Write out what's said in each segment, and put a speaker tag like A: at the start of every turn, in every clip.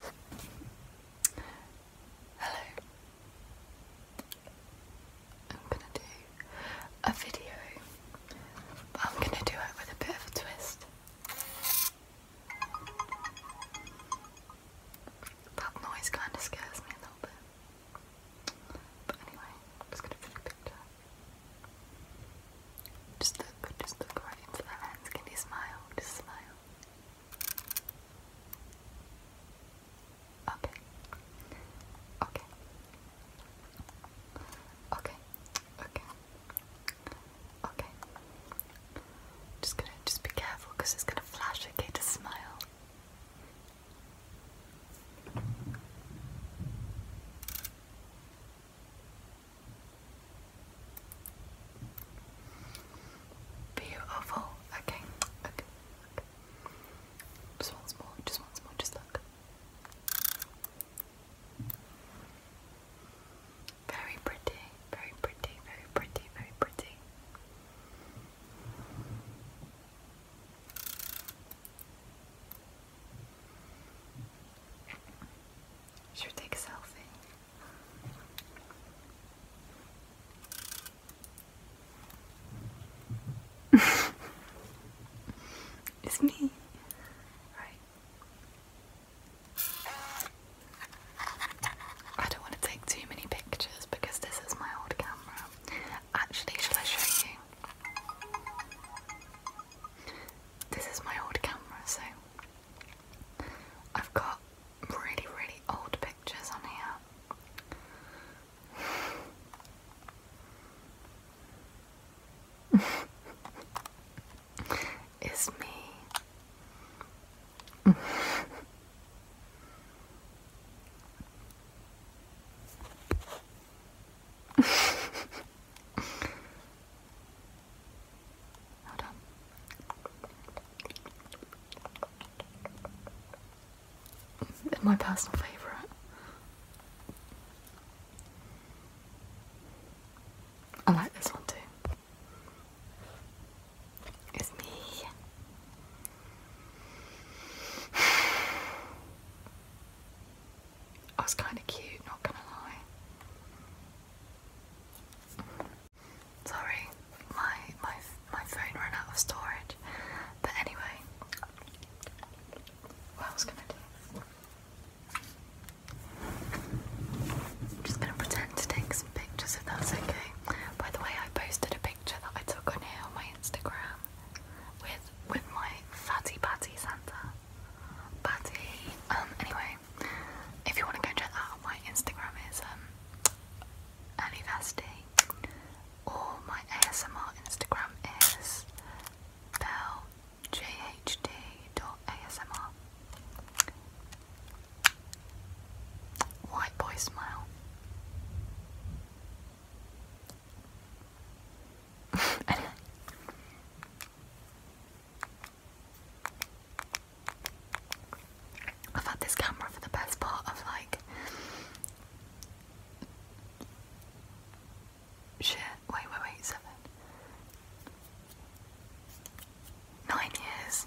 A: Hello. I'm gonna do a video, but I'm gonna do it with a bit of a twist. That noise kinda scares me a little bit. But anyway, I'm just gonna put a picture. Just look, just look right into their hands. Can smile? Just smile. Okay. Okay. Okay. Okay. Okay. Just gonna just be careful it's gonna flash. Okay, just smile. Beautiful. Okay. okay. Just once more. Just once more. Just look. Very pretty. Very pretty. Very pretty. Very pretty. Should take a selfie? it's me, right? I don't want to take too many pictures because this is my old camera. Actually, shall I show you? This is my old camera, so I've got really, really old pictures on here. it's me. Hold my personal favourite. I like this one too. It's me. I was kind of cute, not gonna lie. Sorry, my my my phone ran out of storage. But anyway, what else can I do? just gonna pretend to take some pictures if that's okay. By the way, I posted a picture that I took on here on my Instagram with with my fatty patty Santa. Patty. Um. Anyway, if you want to go check that out, my Instagram is um, AliVasti, or my ASMR Instagram is ASMR. White boy smile. anyway. I've had this camera for the best part of like shit, wait, wait, wait, seven. Nine years.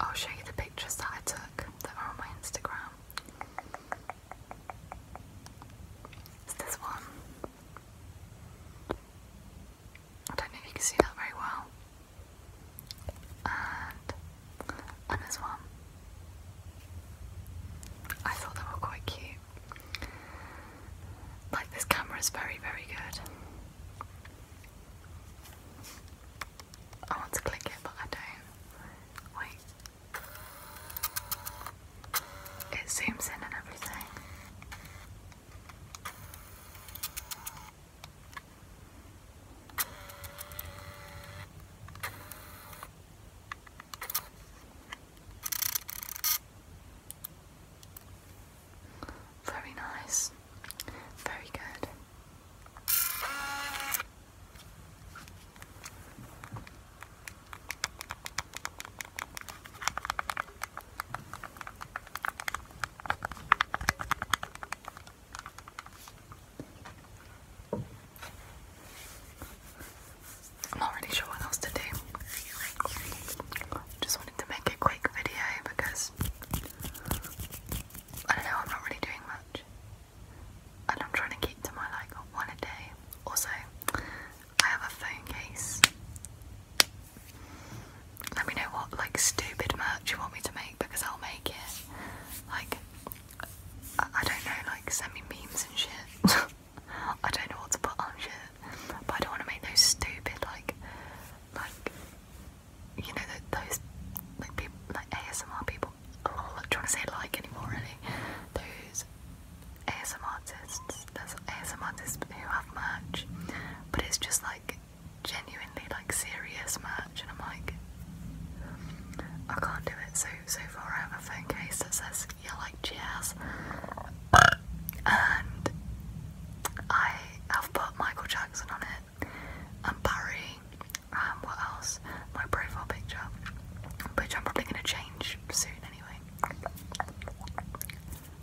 A: I'll show you the pictures that I took that are on my Instagram. this one. I don't know if you can see that very well. And, and this one. I thought they were quite cute. Like, this camera is very, very good. I want to click it, but I don't. Wait. It zooms in and everything. Very nice. Very good. I'm not sure what else to do. Just to make a quick video because I don't know, I'm not really doing much. And I'm trying to keep to my like one a day. Also, I have a phone case. Let me know what like stupid merch you want me to make because I'll make it. Like, I, I don't know, like send me memes and shit. I don't know what to put on shit, but I don't want to make those stupid like, like you know those like people like ASMR people I'm not trying to say like anymore really those ASMR artists there's ASMR artists who have merch but it's just like genuinely like serious merch and I'm like I can't do it so so far I have a phone case that says you yeah, like jazz and I have put Michael Jackson on it and Barry. Um, what else? My profile picture, which I'm probably going to change soon anyway.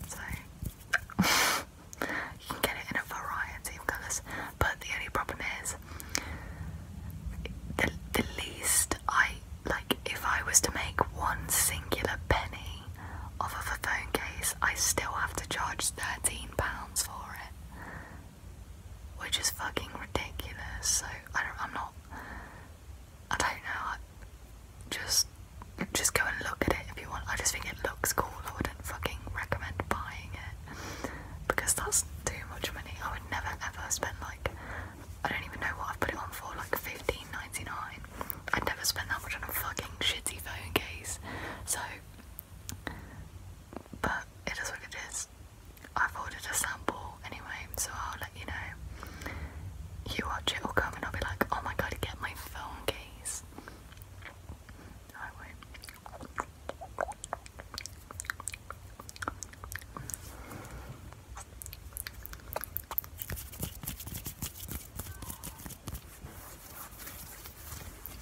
A: So, you can get it in a variety of colours, but the only problem is the, the least I like. If I was to make one singular penny off of a phone case, I still have to charge £13 for it. Which is fucking ridiculous. So, I don't, I'm not. I don't know. I, just, just go and look at it if you want. I just think it looks cool. I wouldn't fucking recommend buying it because that's too much money. I would never ever spend like I don't even know what I've put it on for, like fifteen ninety nine. I'd never spend that much on a fucking shitty phone case. So but it is what it is. I've ordered a sample anyway, so I'll let you know. You watch it or come and I'll be like, oh my god, get my phone case.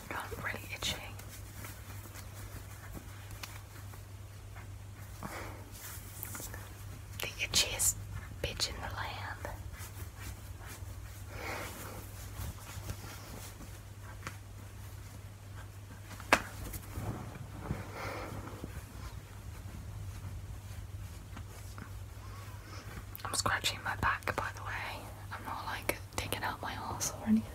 A: God, I'm really itching. The itchiest bitch in the land. I'm scratching my back by the way. I'm not like taking out my ass or anything.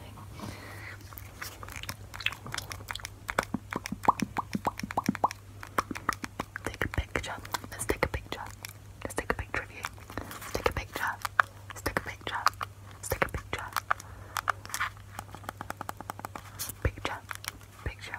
A: Take a picture. Let's take a picture. Let's take a picture of you. take a picture. take a picture. take a picture. Picture. Picture.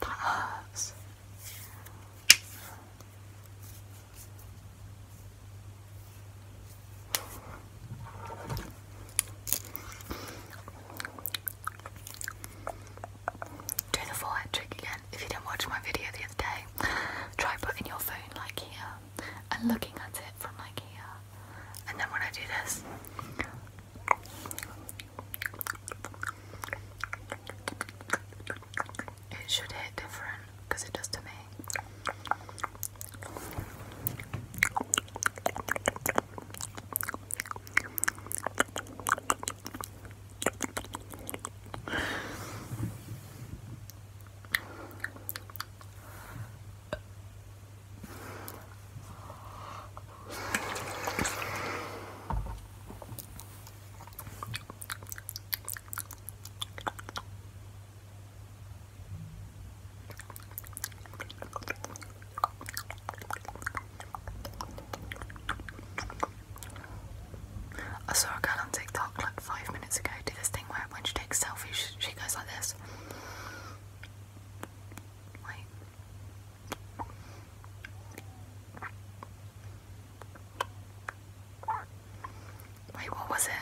A: Puffs. Do the forehead trick again. If you didn't watch my video the other day, try putting your phone like here and looking at it from like here. And then when I do this, it should hit different because it does to me. I saw a girl on TikTok like five minutes ago do this thing where when she takes selfies, she goes like this. Wait. Wait, what was it?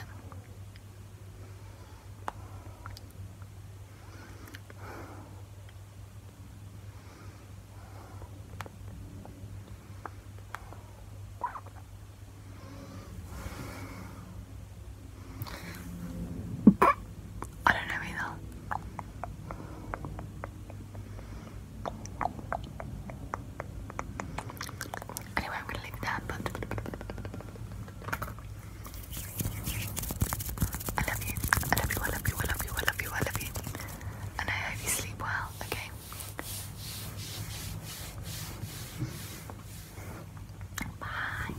A: I don't know either. Anyway, I'm gonna leave that, but I love you. I love you, I love you, I love you, I love you, I love you. And I hope you sleep well, okay? Bye.